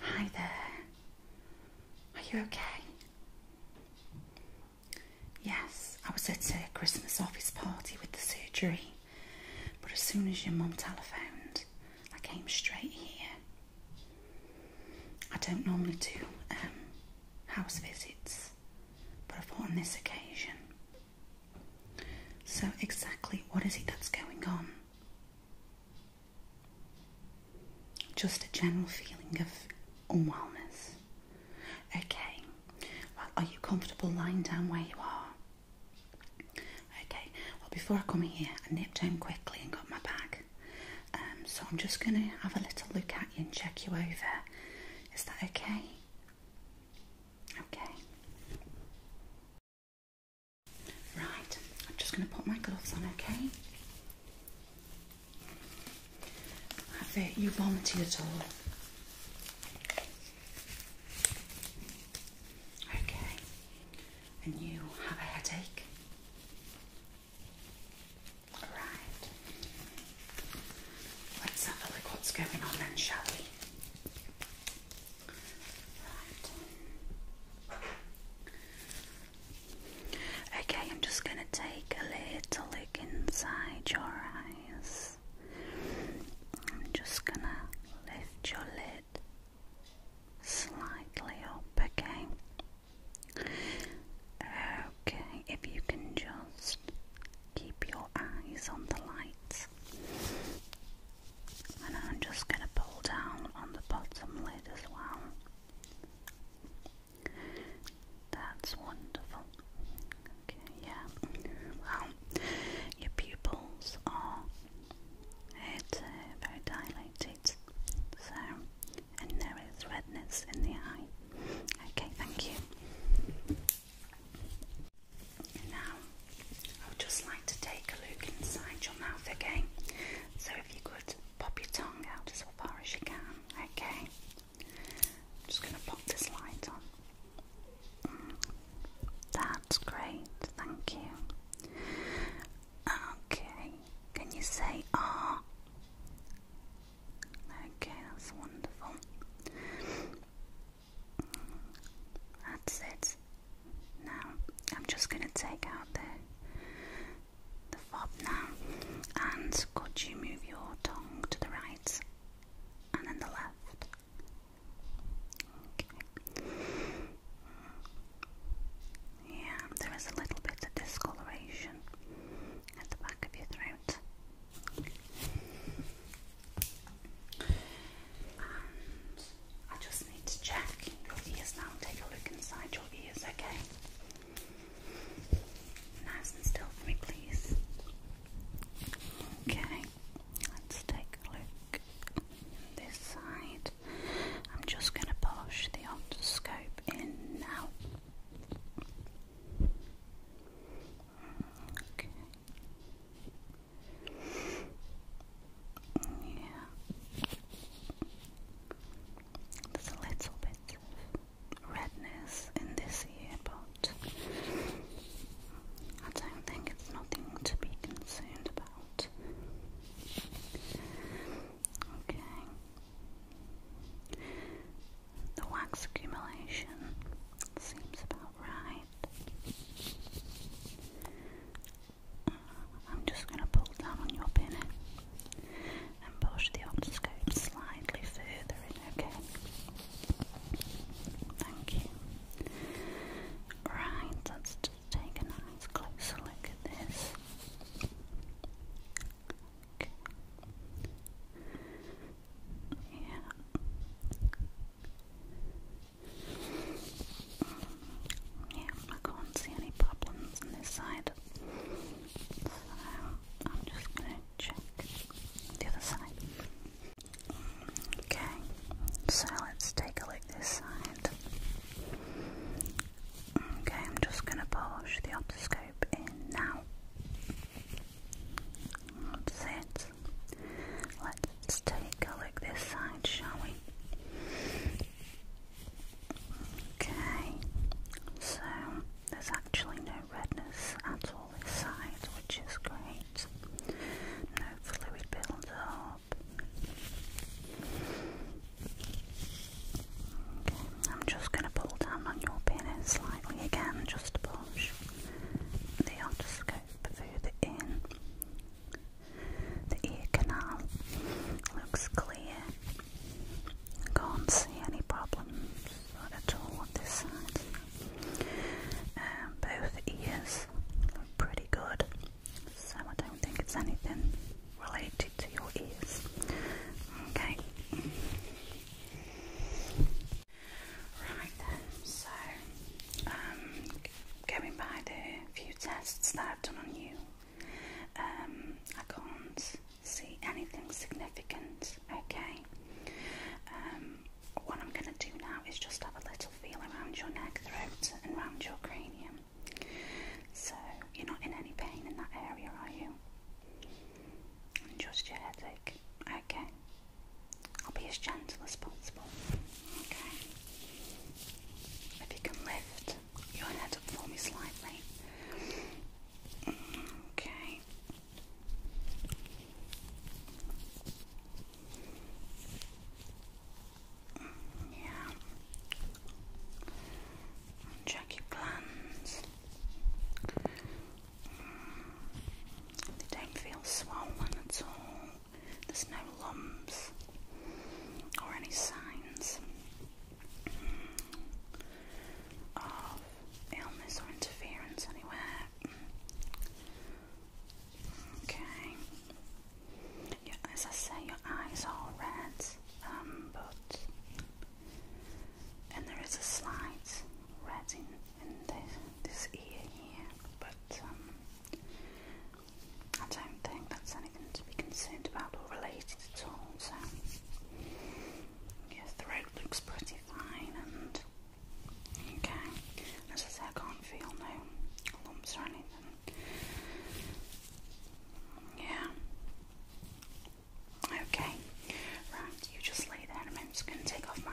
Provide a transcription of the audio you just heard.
Hi there. Are you okay? Yes, I was at a Christmas office party with the surgery, but as soon as your mum telephoned, I came straight here. I don't normally do um, house visits, but I thought on this occasion. So, exactly what is it that's going on? Just a general feeling of unwellness. Okay, well, are you comfortable lying down where you are? Okay, well, before I come in here, I nipped down quickly and got my bag. Um, so I'm just going to have a little look at you and check you over. Is that okay? Okay. Right, I'm just going to put my gloves on, okay? Have it, you vomited at all? Okay, and you have a headache? Alright, let's have a look what's going on then, shall we? Okay, I'm just going to take a little look inside your eyes. I'm just going to lift your lid slightly up, okay? Okay, if you can just keep your eyes on the light. And I'm just going to pull down on the bottom lid as well. That's wonderful. Okay, yeah. Well, your pupils are very dilated, so and there is redness in the eye. Okay, thank you now, I would just like to take a look inside your mouth again. So, if you could pop your tongue out as far as you can, okay? just going to pop this light on. That's great, thank you. Okay, can you say ah? Okay, that's wonderful. That's it. Now I'm just gonna take out the the fob now. And could you move your tongue to the right and then the left? Yeah, there is a little bit of discoloration at the back of your throat. I just need to check your ears now. Take a look inside your ears, okay? Nice and still for me, please. Okay, let's take a look this side. I'm just going to push the otoscope in now. Okay. Yeah. There's a little bit of redness in this ear, but I don't think it's nothing to be concerned about. Okay. The wax accumulation seems about right. Uh, I'm just going to pull down on your pinny and push the otoscope slightly further in, okay? Thank you. Right, let's just take a nice closer look at this. Yeah. Yeah, I can't see any problems on this side. So I'm just gonna check the other side. Okay, so let's take a look this side. Okay, I'm just gonna push the optoscope in now. That's it. Let's take a look this side, shall we? Okay, so there's actually no redness at all this side, which is great. No fluid build I'm just going to pull down on your penis slightly again, just to push the otoscope further in. The ear canal looks clear. I Can't see any problems at all on this side. Um, both ears look pretty good, so I don't think it's anything really to your ears. Okay. Right then, so um, going by the few tests that I've done on you, um, I can't see anything significant. Okay. Um, what I'm going to do now is just have a little feel around your neck, throat, and around your cranium. So, you're not in any pain in that area, are you? just your headache. Okay. I'll be as gentle as possible. Okay. If you can lift your head up for me slightly. Okay. Yeah check your mm. They don't feel swollen at all. There's no lumps or any signs mm, of illness or interference anywhere. Mm. Okay as I say, your eyes are red, um, but and there is a slight red in, this, ear here, but um, I don't think that's anything to be concerned about or related at all. So your throat looks pretty fine and okay. As I say, I can't feel no lumps or anything. Yeah. Okay. Right, you just lay there I'm just going to take off my